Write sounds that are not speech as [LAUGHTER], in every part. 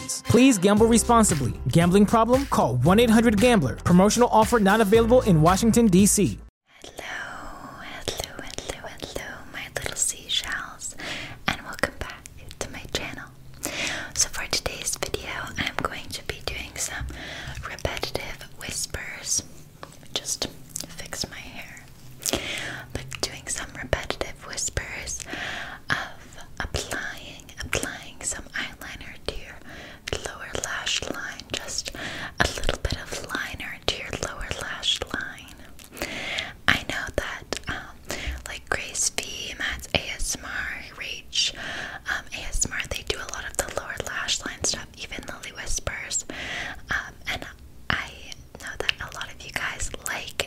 Please gamble responsibly. Gambling problem? Call 1 800 Gambler. Promotional offer not available in Washington, D.C. Hello, hello, hello, hello, my little seashells, and welcome back to my channel. So, for today's video, I'm going to be doing some repetitive whispers. Just fix my hair like doing some repetitive whispers of applying, applying some eyeliner to your lower lash line, just a little bit of liner to your lower lash line. I know that, um, like Grace V, Matt's ASMR, Reach, um, ASMR, they do a lot of the lower lash line stuff, even Lily Whispers, um, and I know that a lot of you guys like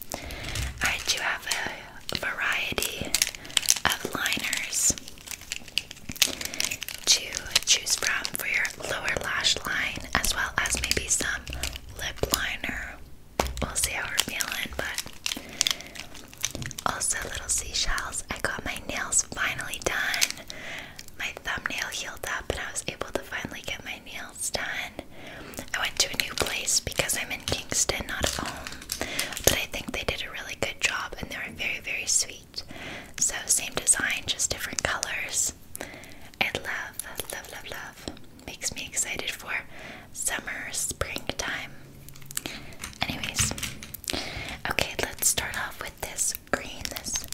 I do have a variety of liners to choose from for your lower lash line, as well as maybe some lip liner. We'll see how we're feeling, but also little seashells. I got my nails finally done. My thumbnail healed up, and I was able to finally get my nails done. I went to a new place because I'm in Kingston, not at home. But I think they did a really good job and they were very, very sweet. So, same design, just different colors. And love, love, love, love. Makes me excited for summer, springtime. Anyways, okay, let's start off with this green, this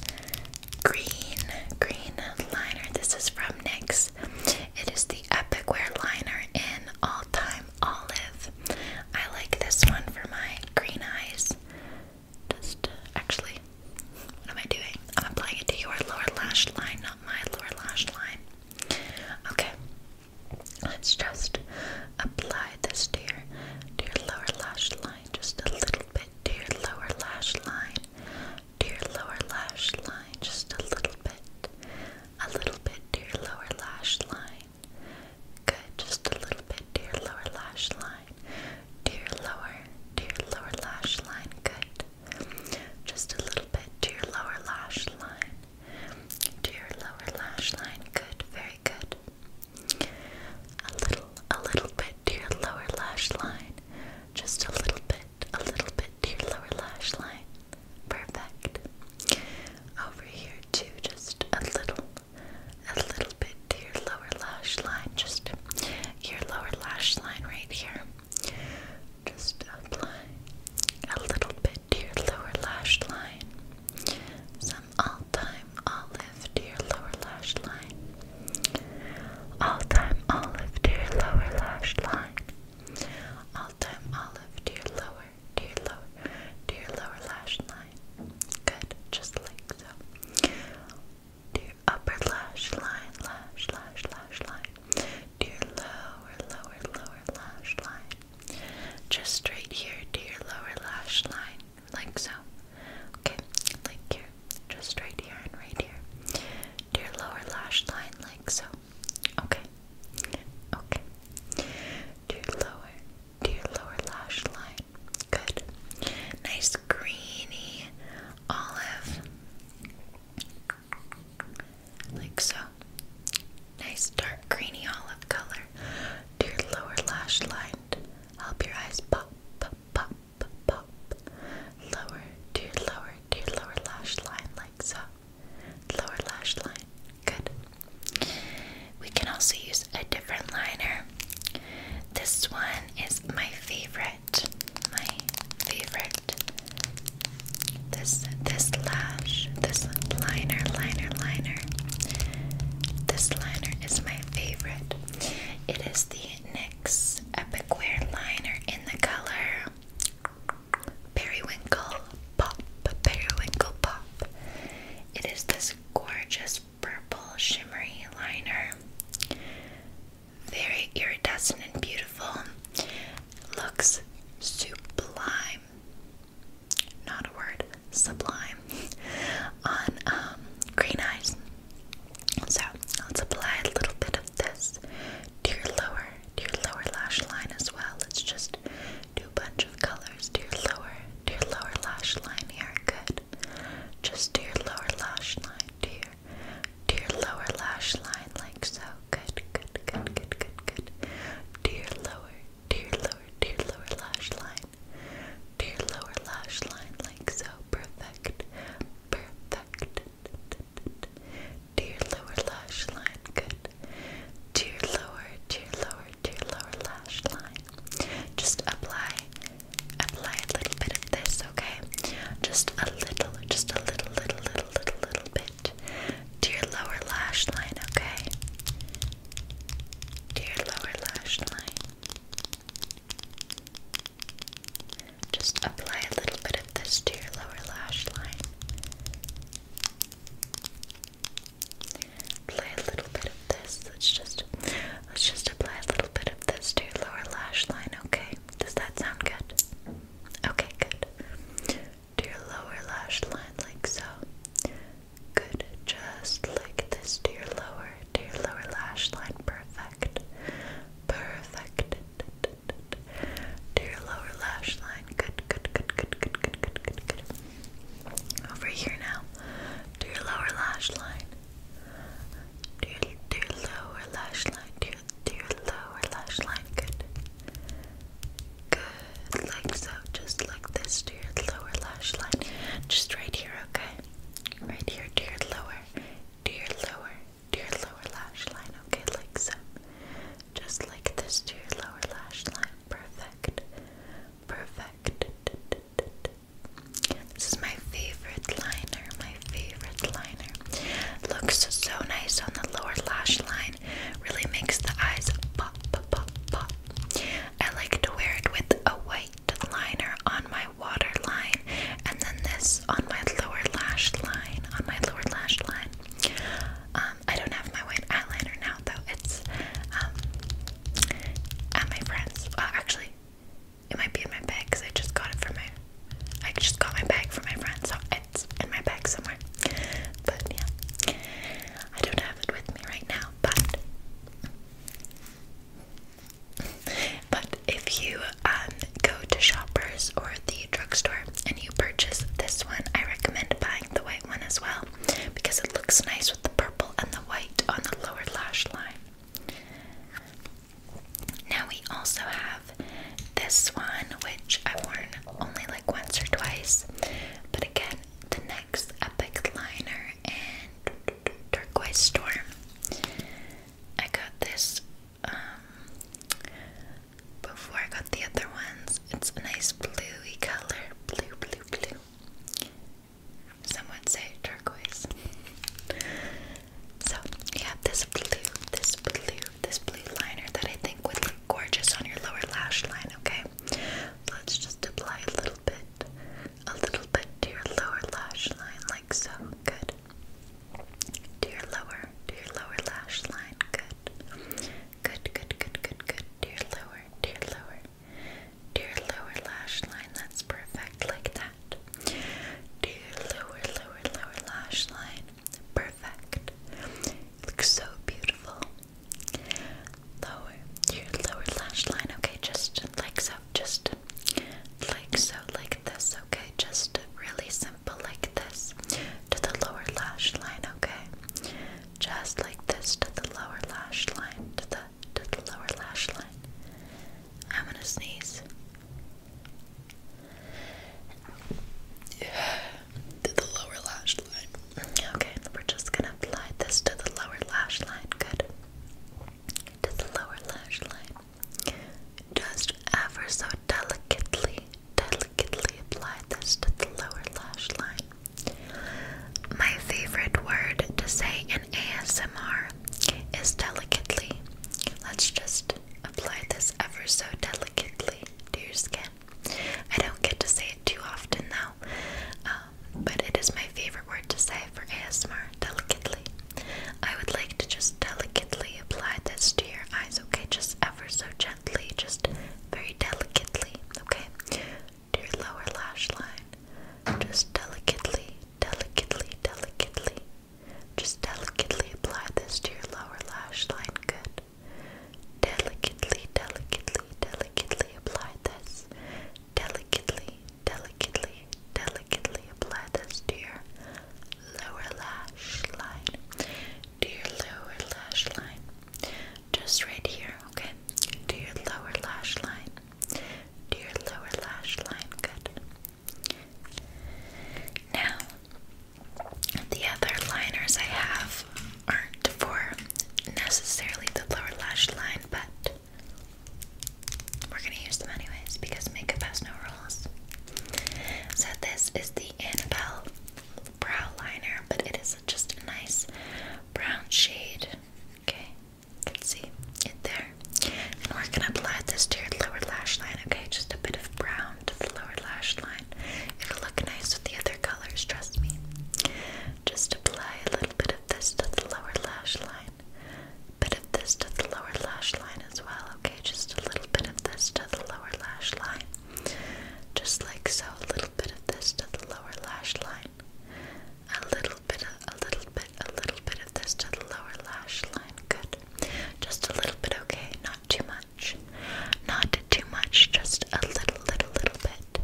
green, green liner. This is from NYX. It is the Epic Wear Liner in All Time Olive. I like this one for my green eyes. Just uh, actually, what am I doing? I'm applying it to your lower lash line, not my lower lash line. Okay, let's just apply this to to your lower lash line, just a little bit to your lower lash line to your lower lash line just a little bit. A little bit to your lower lash line. Good, just a little bit to your lower lash line. To your lower, to your lower lash line. Good. Just a little bit to your lower lash line. To your lower lash line. Good, very good. A little, a little bit to your lower lash line. Just a little bit a little bit to your lower lash line. Perfect. Over here too, just a little, a little bit to your lower lash line. Just your lower lash line right here. Just apply a little bit to your lower lash line. Some all-time olive to your lower lash line. All-time olive to your lower lash line. All time olive to your lower, to your lower, to your lower lash line. Good, just like so. To your upper lash line, lash, lash, lash line. To your lower, lower, lower lash line. Just straight here to your lower lash line, like so. Okay, like here. Just right here and right here. To your lower lash line, like so. Okay. Okay. To your lower, to your lower lash line. Good. Nice greeny olive. Like so. Nice dark greeny olive color to your lower lash line. Help your eyes pop, pop, pop, pop. Lower to your lower, to your lower lash line, like so lower lash line. Good. We can also use a different liner. This one is my favorite. My favorite. This this lash, this liner, liner, liner. This liner is my favorite. It is the NYX Epic Wear liner in the color Periwinkle Pop. Periwinkle Pop. It is this gorgeous purple shimmery liner. Very iridescent and beautiful. Looks sublime. Not a word, sublime. [LAUGHS] On um, green eyes. So let's apply a little bit of this to your lower to your lower lash line as well. Let's just do a bunch of colors to your lower, to your lower lash line here. Good. Just to your lower lash line, to your, to your lower lash line, like so. Good, good, good, good, good, good. To your lower, to your lower, to your lower lash line, to your lower lash line, like so. Perfect, perfect. Dear lower lash line, good. Dear lower, dear lower, to lower lash line. Just apply, apply a little bit of this, okay? Just a little, just a little, little, little, little, little bit. Dear lower lash line, okay? Dear lower lash line. Just apply a little bit of this to your lower lash line. Apply a little bit of this. Let's just let's just apply a little bit of this to your lower lash line, okay? Does that sound good? Okay, good. To your lower lash line like so. Good. Just like this to your lower, to your lower lash line. Perfect. Perfect to your lower lash line. Good, good, good, good, good, good, good, good, good. Over here now, to your lower lash line. To your, to your lower lash line. To your, to your lower lash line. Good. Good, like so. Just like this to your lower lash line. Just right here, okay? Right here to your lower, to your lower, to your lower lash line, okay? Like so. Just like this to your lower lash line. Perfect. Perfect. This is my favorite liner, my favorite liner. Looks so nice on the lower lash line. Really makes the eyes pop, pop, pop. I like to wear it with a white liner on my waterline and then this on my lower lash line, on my lower lash line. Um, I don't have my white eyeliner now though. It's um, at my friend's. actually, it might be in my bag because I just got it from my. I just got my bag from my friend, so it's in my bag somewhere. But yeah, I don't have it with me right now. But but if you um, go to Shoppers or the drugstore and you purchase this one, I recommend buying the white one as well because it looks nice with the purple and the white on the lower lash line. Now we also have this one, which I've worn only like once or twice, but again, the next Epic Liner and Turquoise Storm. I got this um, before I got the other ones. It's a nice bluey color, blue, blue, blue. Some would say turquoise. So you have this blue, this blue, this blue liner that I think would look gorgeous on your lower lash line, okay? Let's just apply a little bit, a little bit to your lower lash line, like so. Good to your lower, to your lower lash line. Good. Good, good, good, good, good. To your lower, to your lower, to your lower lash line. That's perfect, like that. To your lower, lower, lower lash line. Perfect. looks so beautiful. Lower, your lower lash line. Okay, just like so, just like so, like this. Okay, just really simple like this to the lower lash line, okay? Just like this to the lower lash line, to the to the lower lash line. I'm gonna sneeze. [SIGHS] to the lower lash line. Okay, we're just gonna apply this to the lower lash line. Good. To the lower lash line. Just ever so delicately, delicately apply this to the lower lash line. My favorite word to say in ASMR is delicately. Let's just apply this ever so delicately to your skin. I don't get to say it too often though, um, but it is my favorite word to say for ASMR, delicately. I would like to just delicately apply this to your eyes, okay? Just ever so gently, just very delicately, okay? To your lower lash line. Just delicately, delicately, delicately. Just delicately apply this to your lower lash line. Good. Delicately, delicately, delicately apply this. Delicately, delicately, delicately apply this to your lower lash line to lower lash line just right here okay to your lower lash line to lower lash line good now the other liners I have aren't for necessarily the lower lash line but we're gonna use them anyways because makeup has no rules. So this is the Annabelle brow liner, but it is just a nice brown shade. Okay, you can see it there. And we're gonna apply this to your lower lash line, okay? Just a bit of brown to the lower lash line. It'll look nice with the other colors, trust me. Just apply a little bit of this to the lower lash line. A bit this to the lower lash line as well okay? Just a little bit of this to the lower lash line. Just like so, a little bit of this to the lower lash line. A little bit, a, little bit, a little bit of this to the lower lash line. Good. Just a little bit, okay? Not too much. Not too much, just a little, little, little bit.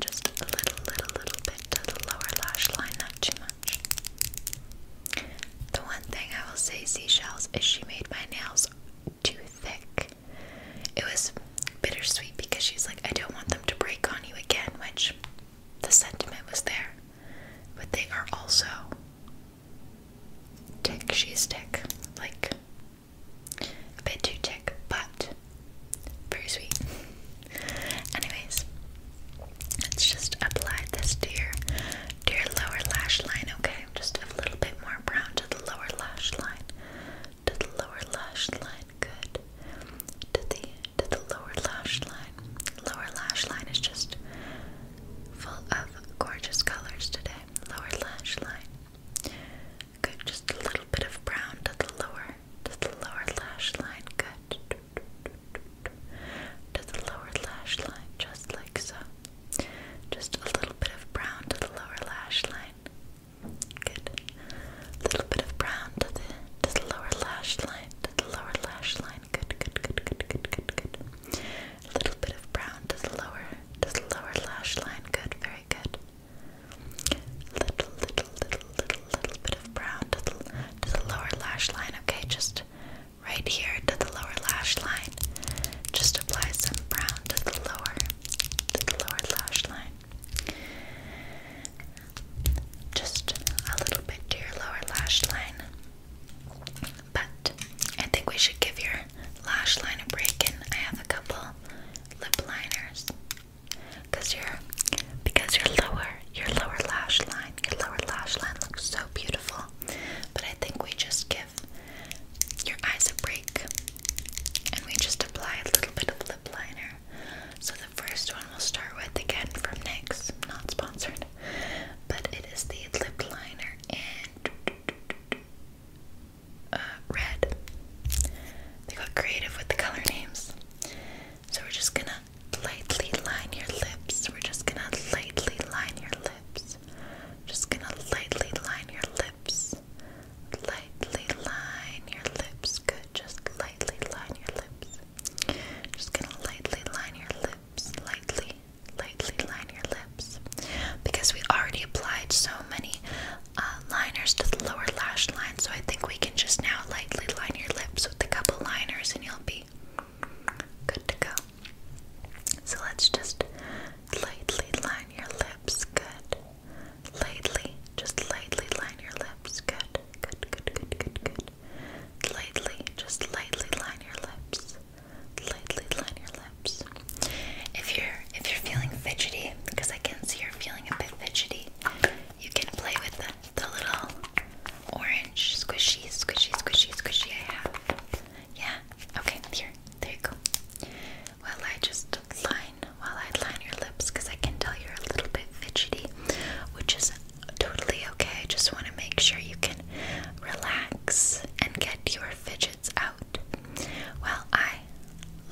Just a little, little, little bit to the lower lash line, not too much. The one thing I will say, Seashells, is she made my nails too thick. It was bittersweet because she's like, I don't want them to break on you again, which the sentiment was there. But they are also tick, she's thick, Like, a bit too thick, but very sweet. Anyways, let's just apply this dear, dear lower lash line, okay? Just a little bit more brown to the lower lash line. To the lower lash line. Good. To the to the lower lash line. Lower lash line is just full of gorgeous colors today. Lower lash line. Good. Just a little bit of brown to the lower to the lower lash line. Good. To the lower lash line, just like so. Just a little bit of brown to the lower lash line. Good. A little bit of brown to the to the lower lash line. To the lower lash line. Good, good, good, good, good, good, good. A little bit of brown to the lower to the lower lash line. Good, very good. Little, little, little, little, little bit of brown to the to the lower lash line. Okay, just right here to the lower lash line. Just apply some brown to the lower, to the lower lash line. Just a little bit to your lower lash line. But I think we should give your lash line a break, and I have a couple lip liners because your because your lower your lower lash line your lower lash line looks so beautiful but I think we just give your eyes a break and we just apply a little bit of lip liner. So the first one we'll start with again from NYX, not sponsored, but it is the lip liner in uh, red. They got creative with the color names. So we're just gonna lightly line your lips. We're just gonna lightly line your lips. Just gonna lightly line your lips. Lightly line your lips. Good. Just lightly line your lips. Just gonna lightly line your lips. Lightly, lightly line your lips. Because we already applied so many uh, liners to the lower lash line, so I think we can just now lightly line your lips with a couple liners and you'll be good to go. So let's just lightly line your lips. Good. Lightly, just lightly line your lips. Good. Good, good, good, good, good. Lightly, just lightly line your lips. Lightly line your lips. If you're if you're feeling fidgety, because I can see you're feeling a bit fidgety, you can play with the, little orange squishy, squishy, squishy, squishy I have. Yeah. Okay. Here. There you go. Well, I just line while I line your lips because I can tell you're a little bit fidgety, which is totally okay. I just want to make sure you can relax and get your fidgets out. While I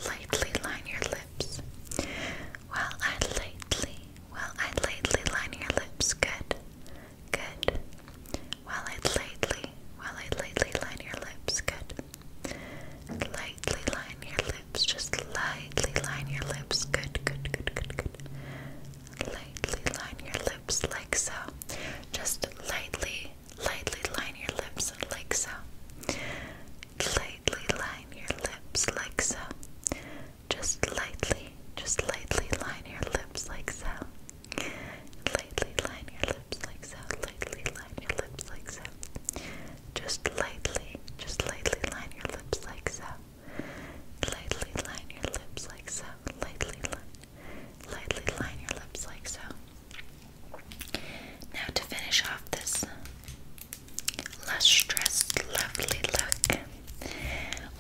lightly line your lips. While I lightly, while I lightly line your lips. Good. Good. While I lightly, while I lightly line your lips, good. Lightly line your lips, just lightly line your lips, good, good, good, good, good. Lightly line your lips like so. Just lightly, lightly line your lips like so. Lightly line your lips like so. Just lightly, just lightly line your lips like so. Lightly line your lips like so. Lightly line your lips like so. Just lightly, just lightly line your lips like so. Lightly line your lips like so. Lightly line, lightly line your lips like so. Now to finish off this lustrous, lovely look,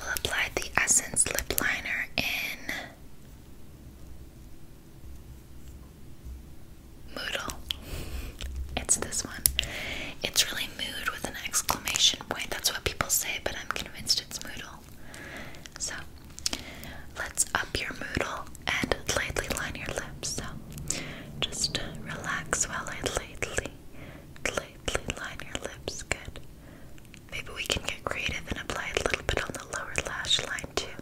we'll apply the Essence Lip Liner in Moodle. It's this one. It's really mood with an exclamation point. That's what people say, but I'm convinced it's Moodle. So, let's up your Moodle and lightly line your lips. So, just relax while I lightly, lightly line your lips. Good. Maybe we can get creative and apply a little bit on the lower lash line too.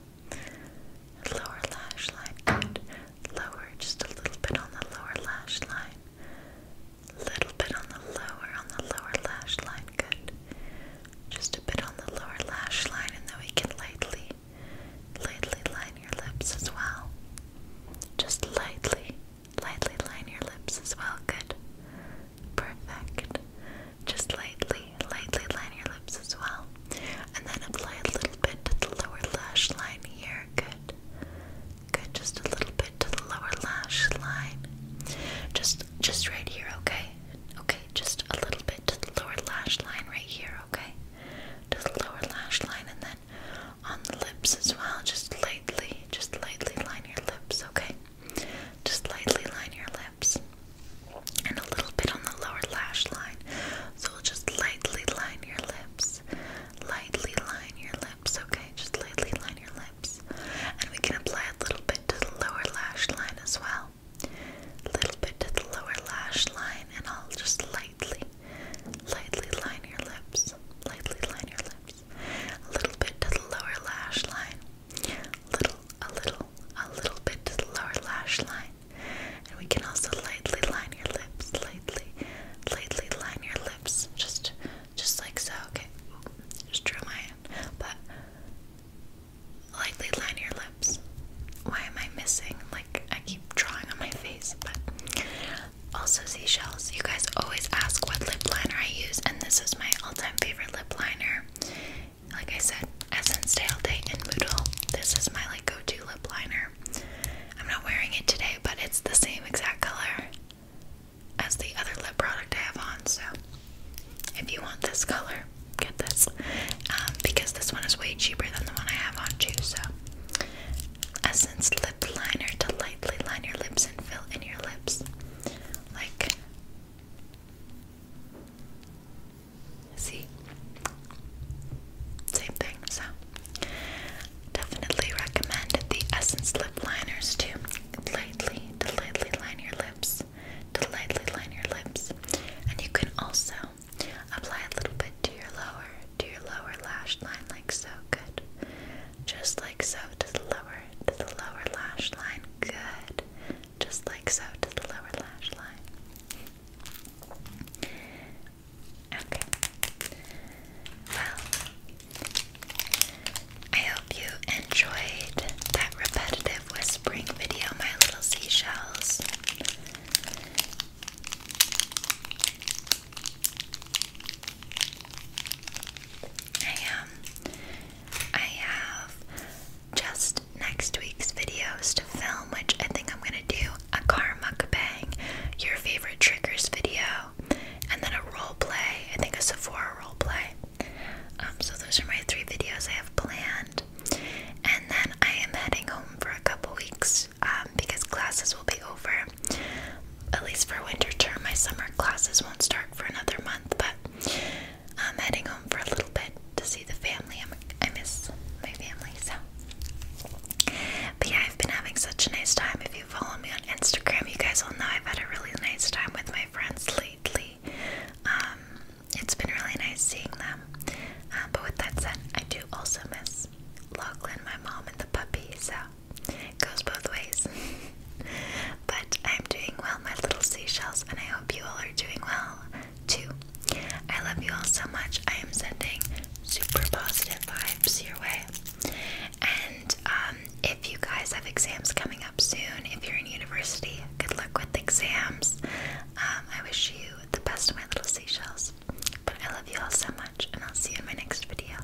Lower lash line, good. Lower, just a little bit on the lower lash line. Little bit on the lower, on the lower lash line, good. Just a bit on the lower lash line, and then we can lightly, lightly line your lips as well. Just lightly, lightly line your lips as well, good. Perfect. Just lightly, lightly line your lips as well. And then apply a little bit to the lower lash line here. Good. Good. Just a little bit to the lower lash line. Just just right here, okay? Okay, just a little bit to the lower lash line right here, okay? To the lower lash line and then on the lips as well. Just lightly, just lightly line your lips, okay? Just lightly line your lips and a little bit on the lower lash line. So we'll just lightly line your lips. Lightly line your lips, okay? Just lightly line your lips. And we can apply a little bit to the lower lash line as well. A little bit to the lower lash line, and I'll just lightly, lightly line your lips. Lightly line your lips. A little bit to the lower lash line little, a little, a little bit to the lower lash line. And we can also lightly line your lips, lightly, lightly line your lips, just, just like so. Okay, just drew my hand, but lightly line your lips. Why am I missing? Like I keep drawing on my face, but also seashells. You guys always ask what lip liner I use, and this is my all-time favorite lip lip liner. Like I said, Essence Day All Day Moodle. This is my like go-to lip liner. I'm not wearing it today, but it's the same exact color as the other lip product I have on. So if you want this color, get this. Um, because this one is way cheaper than the one I have on too, so Essence Lip Liner to lightly line your lips and fill in your lips. Like See? Same thing, so definitely recommend the Essence lip liners to lightly, lightly line your lips, to lightly line your lips, and you can also apply a little bit to your lower, to your lower lash line, like so. Good, just like so to the lower, to the lower lash line. Good. Just like so to the lower lash line. Okay. Well, I hope you enjoyed that repetitive whispering video, my little seashells. I um I have just next week's videos to film, which I think I'm gonna do a car mukbang, your favorite triggers video, and then a role play. I think a Sephora role play. Um, so those are my three videos I have planned, and then I am heading home for a couple weeks um, because classes will be over. At least for winter term, my summer classes won't start for another month, but I'm heading home for a little bit to see the family. i miss my family, so. But yeah, I've been having such a nice time. If you follow me on Instagram, you guys all know I've had a really nice time with my friends lately. Um, it's been really nice seeing them. Uh, but with that said, I do also miss Lachlan, my mom, and the puppy, so it goes both ways. [LAUGHS] [LAUGHS] but I'm doing well, my little seashells, and I hope you all are doing well too. I love you all so much. I am sending super positive vibes your way. And um, if you guys have exams coming up soon, if you're in university, good luck with exams. Um, I wish you the best, my little seashells. But I love you all so much, and I'll see you in my next video.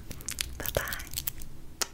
Bye bye.